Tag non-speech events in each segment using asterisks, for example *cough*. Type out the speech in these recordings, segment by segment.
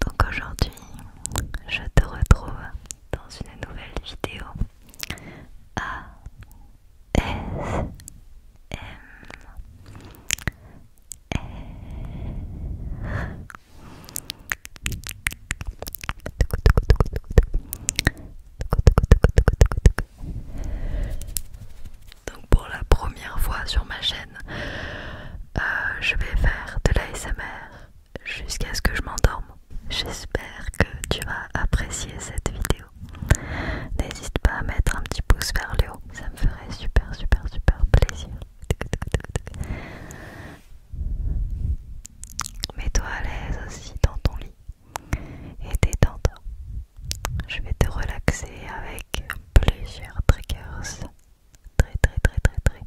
Donc aujourd'hui, je te retrouve dans une nouvelle vidéo donc pour la première fois sur ma chaîne, euh, je vais faire de l'ASMR jusqu'à ce que je m'endorme. J'espère que tu vas apprécier cette vidéo. N'hésite pas à mettre un petit pouce vers le haut, ça me ferait super super super plaisir. Mets-toi à l'aise aussi dans ton lit et détends-toi. Je vais te relaxer avec avec plusieurs triggers très très très très très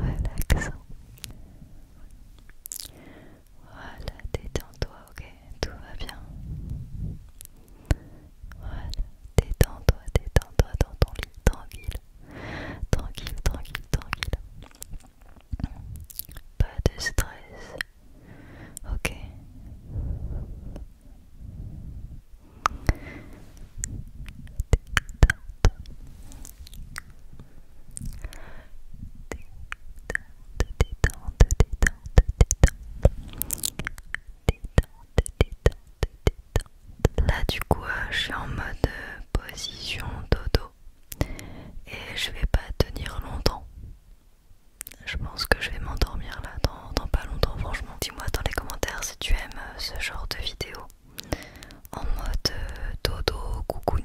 relax. Voilà, détends-toi, ok, tout va bien. Voilà, détends-toi, détends-toi dans ton lit, tranquille, tranquille, tranquille, tranquille. Pas de stress, Ok. Détente, détente, détente, détente. détente Détente, détente, Là du coup euh, je suis en mode euh, position dodo et je vais pas tenir longtemps je pense que je vais m'endormir là dans, pas longtemps franchement. Dis-moi dans les commentaires si tu aimes euh, ce genre de vidéo en mode euh, dodo cocooning.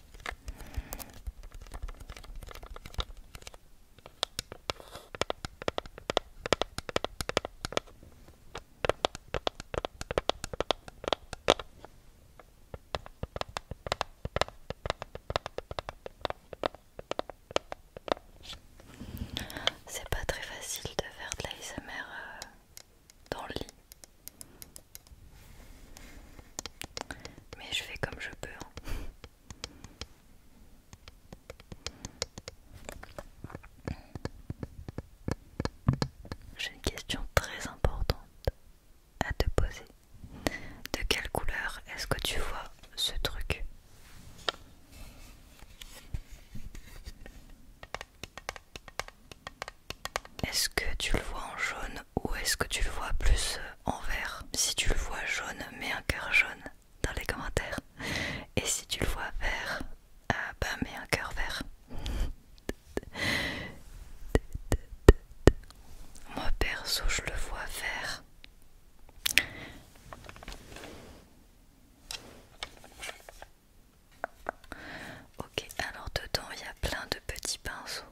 C'est pas très facile de faire de l'ASMR euh, dans le lit. Mais je fais comme je peux. Hein. J'ai une question très importante à te poser. De quelle couleur est-ce que tu vois ce truc Est-ce que tu le vois en jaune ou est-ce que tu le vois plus euh, en vert Si tu le vois jaune, mets un cœur jaune dans les commentaires. Et si tu le vois vert, ah bah mets un cœur vert. Moi perso, je le vois vert. Ok, alors dedans il y a plein de petits pinceaux.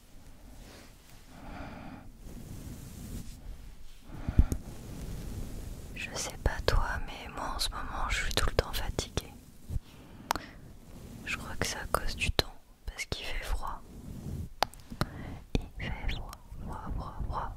Je sais pas toi, mais moi en ce moment je suis tout le temps fatiguée. Je crois que c'est à cause du temps, parce qu'il fait froid. Il fait froid, froid, froid, froid.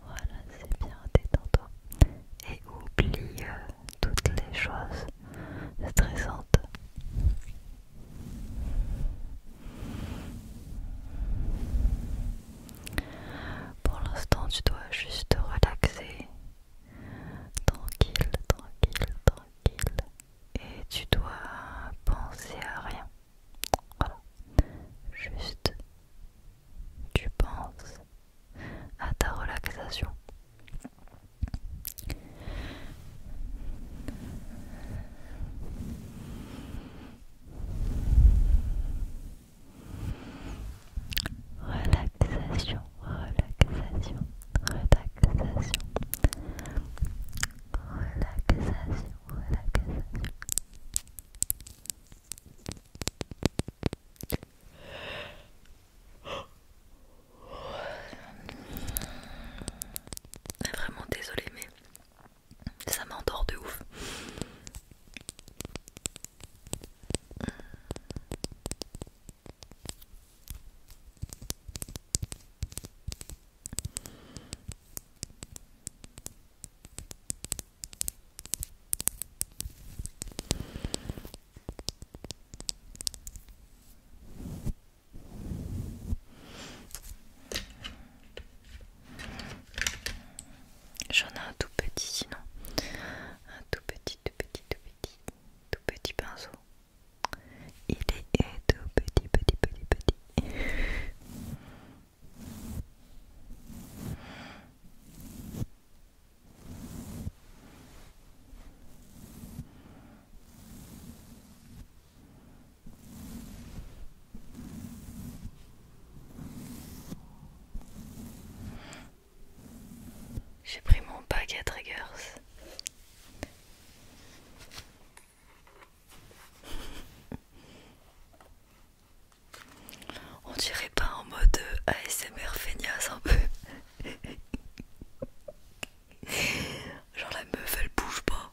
Voilà, c'est bien, détends-toi. Et oublie euh, toutes les choses stressantes. Pour l'instant, tu dois juste te relaxer. Tranquille, tranquille, tranquille. Et tu dois penser à rien. Voilà. Juste, tu penses à ta relaxation. Relaxation, relaxation, relaxation. Relaxation, relaxation. Vraiment désolé mais ça m'endort de ouf. J'en ai un tout petit sinon. Un tout petit, tout petit, tout petit, tout petit pinceau. Il est tout petit, petit, petit, petit. J'ai pris mon pack à Triggers. *laughs* On dirait pas en mode euh, ASMR feignasse un peu. *laughs* Genre la meuf elle bouge pas.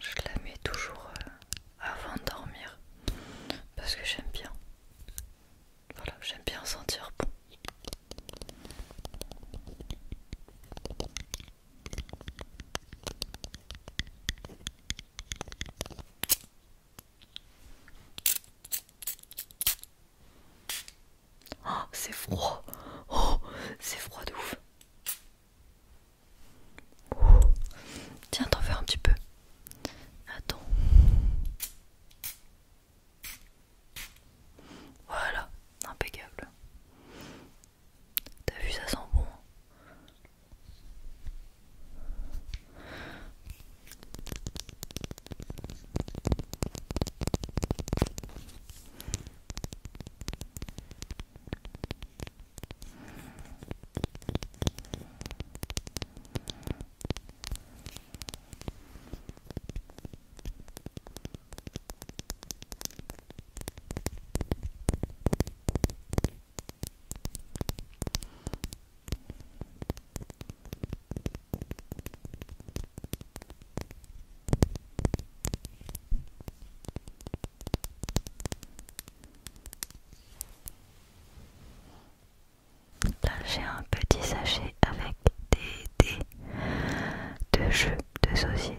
Je la mets toujours euh, avant de dormir parce que j'aime bien. Voilà, j'aime bien sentir bon. Oh, c'est froid. Oh, c'est froid de ouf. Oh. Tiens, t'en fais un petit peu. Attends. Voilà, impeccable. T'as vu, ça sent bon. Là j'ai un petit sachet avec des dés de jeux de société.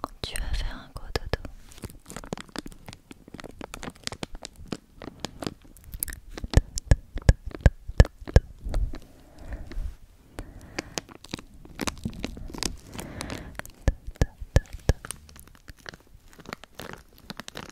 Quand tu vas faire un code auto?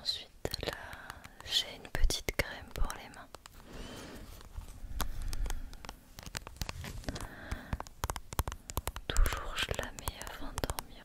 Ensuite, là, j'ai une petite crème pour les mains. Toujours je la mets avant de dormir.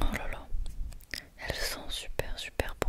Oh là là, elles sont super super bon.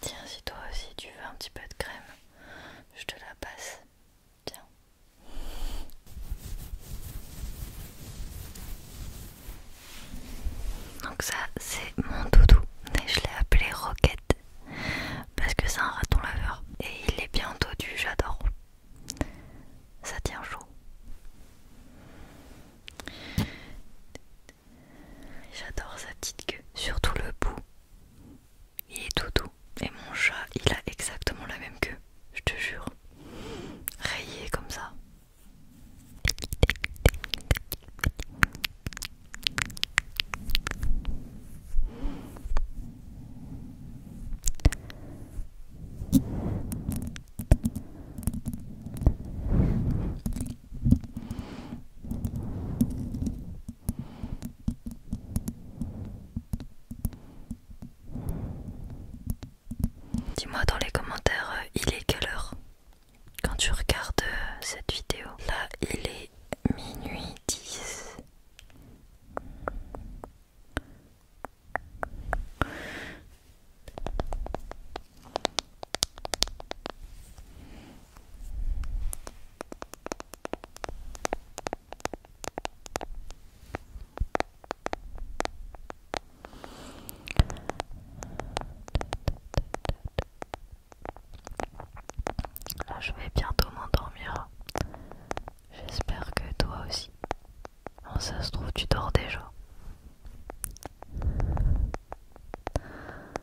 Tiens, si toi aussi tu veux un petit peu de crème, je te la passe. Tiens. Donc ça, c'est mon doudou. Et je l'ai appelé Roquette parce que c'est un raton laveur et il est bien du j'adore. Ça tient chaud. J'adore sa petite queue, surtout le bout. Il est tout doux. Et mon chat, il a exactement la même queue, je te jure. Rayé comme ça. Dis-moi dans les commentaires, euh, il est quelle heure quand tu regardes euh, cette vidéo. Là, il est minuit 10. Là, je vais bientôt m'endormir. J'espère que toi aussi. Oh, ça se trouve, tu dors déjà.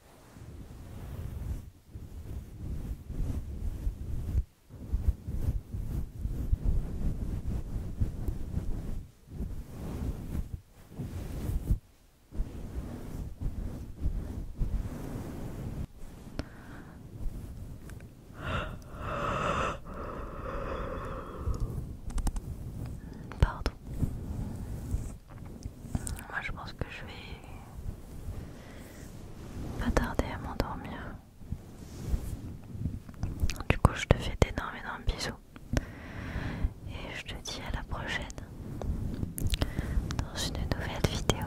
Pardon. Moi je pense que je vais pas tarder à m'endormir. Du coup, je te fais d'énormément le bisous. Et je te dis à la prochaine dans une nouvelle vidéo.